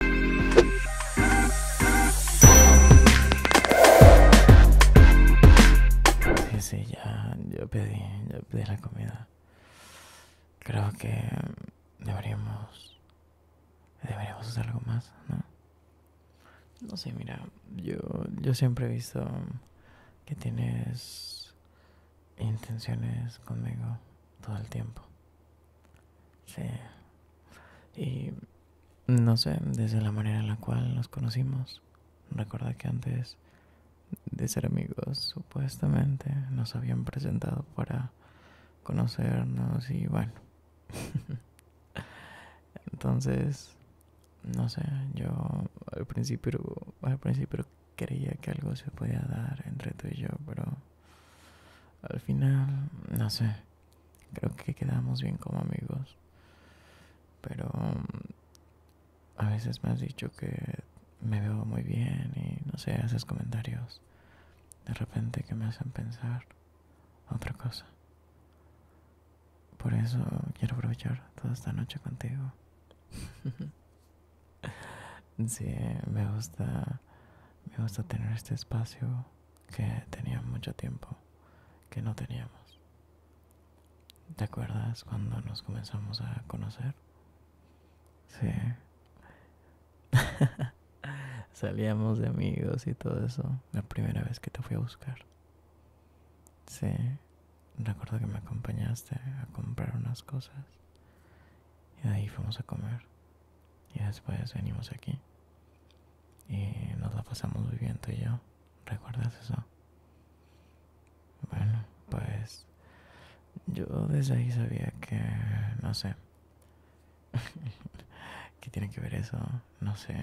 Sí, sí, ya, yo pedí, ya pedí la comida. Creo que deberíamos, deberíamos hacer algo más, ¿no? No sé, mira, yo, yo siempre he visto que tienes intenciones conmigo todo el tiempo. Sí. Y no sé, desde la manera en la cual nos conocimos. Recuerda que antes de ser amigos, supuestamente, nos habían presentado para conocernos y bueno. Entonces, no sé, yo al principio, al principio creía que algo se podía dar entre tú y yo, pero al final, no sé. Creo que quedamos bien como amigos. Pero mm, a veces me has dicho que me veo muy bien y no sé, haces comentarios de repente que me hacen pensar otra cosa. Por eso quiero aprovechar toda esta noche contigo. sí, me gusta, me gusta tener este espacio que teníamos mucho tiempo que no teníamos. ¿Te acuerdas cuando nos comenzamos a conocer? Sí. Salíamos de amigos y todo eso. La primera vez que te fui a buscar. Sí. Recuerdo que me acompañaste a comprar unas cosas. Y ahí fuimos a comer y después venimos aquí y nos la pasamos muy bien tú y yo. ¿Recuerdas eso? Bueno, pues yo desde ahí sabía que, no sé, ¿qué tiene que ver eso? No sé,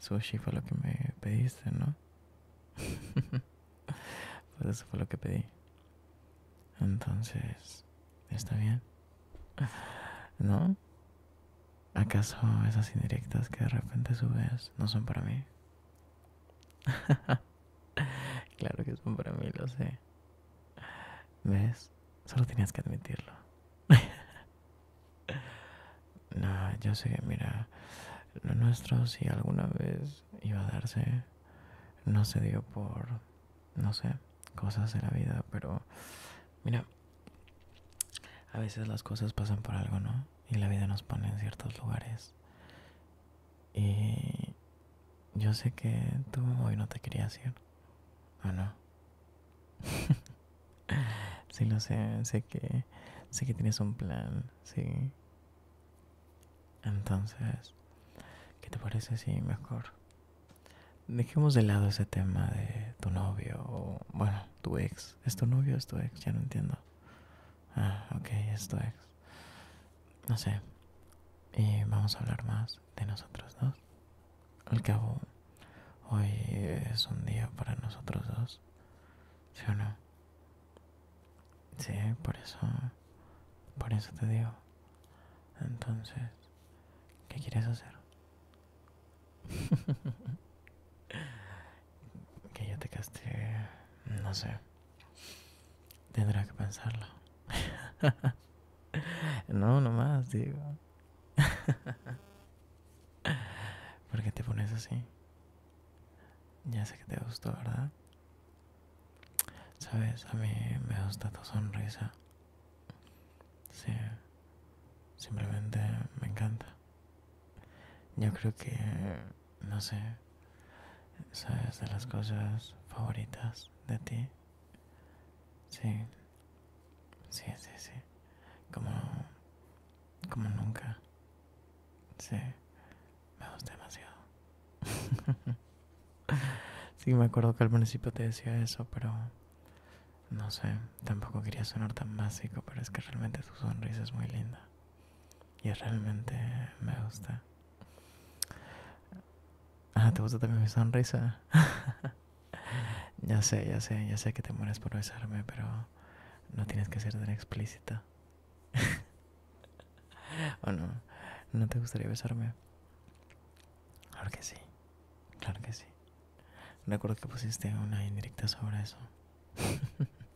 sushi fue lo que me pediste, ¿no? pues eso fue lo que pedí. Entonces, ¿está bien? ¿No? ¿Acaso esas indirectas que de repente subes no son para mí? claro que son para mí, lo sé. ¿Ves? Solo tenías que admitirlo. no, yo sé que, mira, lo nuestro si alguna vez iba a darse, no se dio por no sé, cosas de la vida, pero mira, a veces las cosas pasan por algo, ¿no? Y la vida nos pone en ciertos lugares. Y yo sé que tú hoy no te quería hacer ¿o no? sí lo sé, sé que sé que tienes un plan, sí. Entonces, ¿qué te parece si mejor Dejemos de lado ese tema de tu novio o, bueno, tu ex. ¿Es tu novio o es tu ex? Ya no entiendo. Ah, ok, es tu ex. No sé. Y vamos a hablar más de nosotros dos. Al cabo, hoy es un día para nosotros dos. ¿Sí o no? Sí, por eso. Por eso te digo. Entonces. ¿Qué quieres hacer? que yo te castigue... no sé. Tendrás que pensarlo. no, nomás, digo. ¿Por qué te pones así? Ya sé que te gustó, ¿verdad? Sabes, a mí me gusta tu sonrisa. Sí, simplemente me encanta. Yo creo que, no sé, sabes de las cosas favoritas de ti. Sí, sí, sí, sí. Como, como nunca. Sí, me gusta demasiado. sí, me acuerdo que al principio te decía eso, pero no sé, tampoco quería sonar tan básico, pero es que realmente tu sonrisa es muy linda. Y realmente me gusta. Ah, ¿te gusta también mi sonrisa? ya sé, ya sé, ya sé que te mueres por besarme, pero no tienes que ser tan explícita. ¿O no? ¿No te gustaría besarme? Claro que sí, claro que sí. Recuerdo que pusiste una indirecta sobre eso.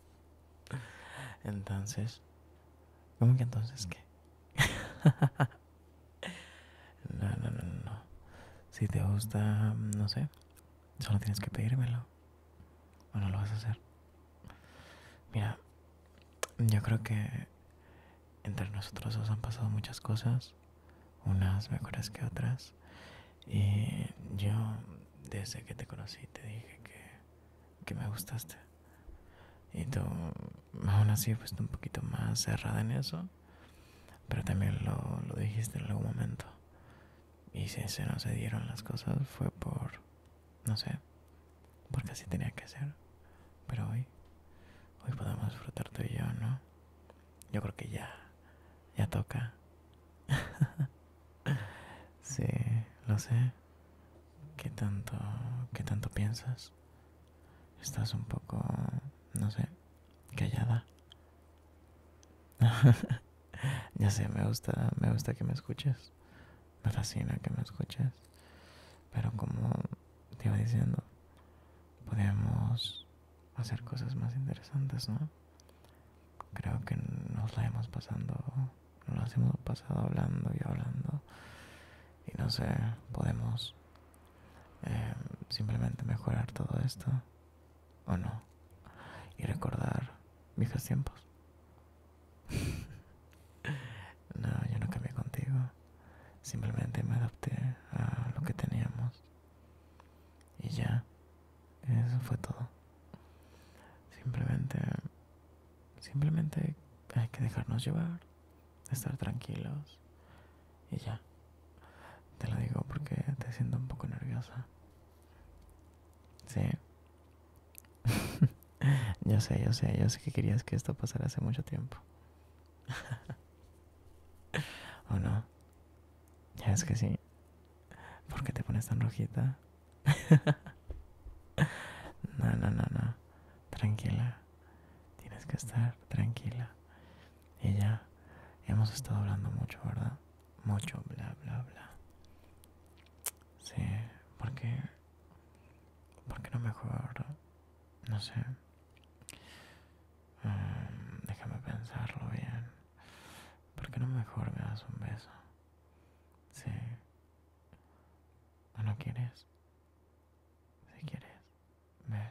entonces, ¿cómo que entonces qué? no, no, no, no. Si te gusta, no sé, solo tienes que pedírmelo. Bueno, lo vas a hacer. Mira, yo creo que entre nosotros os han pasado muchas cosas, unas mejores que otras. Y yo, desde que te conocí, te dije que, me gustaste. Y tú, aún así, fuiste un poquito más cerrada en eso. Pero también lo, lo dijiste en algún momento. Y si se no se dieron las cosas fue por, no sé, porque así tenía que ser. Pero hoy, hoy podemos disfrutar tú y yo, ¿no? yo creo que ya, ya toca. sí, lo sé. ¿Qué tanto, qué tanto piensas? Estás un poco, no sé, callada. ya sé, me gusta, me gusta que me escuches. Me fascina que me escuches. Pero como te iba diciendo, podemos hacer cosas más interesantes, ¿no? Creo que nos la hemos pasando, nos la hemos pasado hablando y hablando. Y no sé, podemos eh, simplemente mejorar todo esto, ¿o no? Y recordar viejos tiempos. no, yo no cambié contigo. Simplemente me adapté a lo que teníamos. Y ya, eso fue todo. Simplemente, simplemente hay que dejarnos llevar, estar tranquilos y ya. Te lo digo porque te siento un poco nerviosa. Sí. yo sé, yo sé, yo sé que querías que esto pasara hace mucho tiempo. ¿O no? Ya es que sí. ¿Por qué te pones tan rojita? no, no, no, no. Tranquila. Tienes que estar tranquila. Y ya hemos estado hablando mucho, ¿verdad? Mucho, bla, bla, bla. Sí, ¿por qué? ¿Por qué no me juego ¿verdad? No sé. Mm, déjame pensarlo bien. ¿Por qué no mejor me das un beso? Sí. no quieres? Si quieres, ven.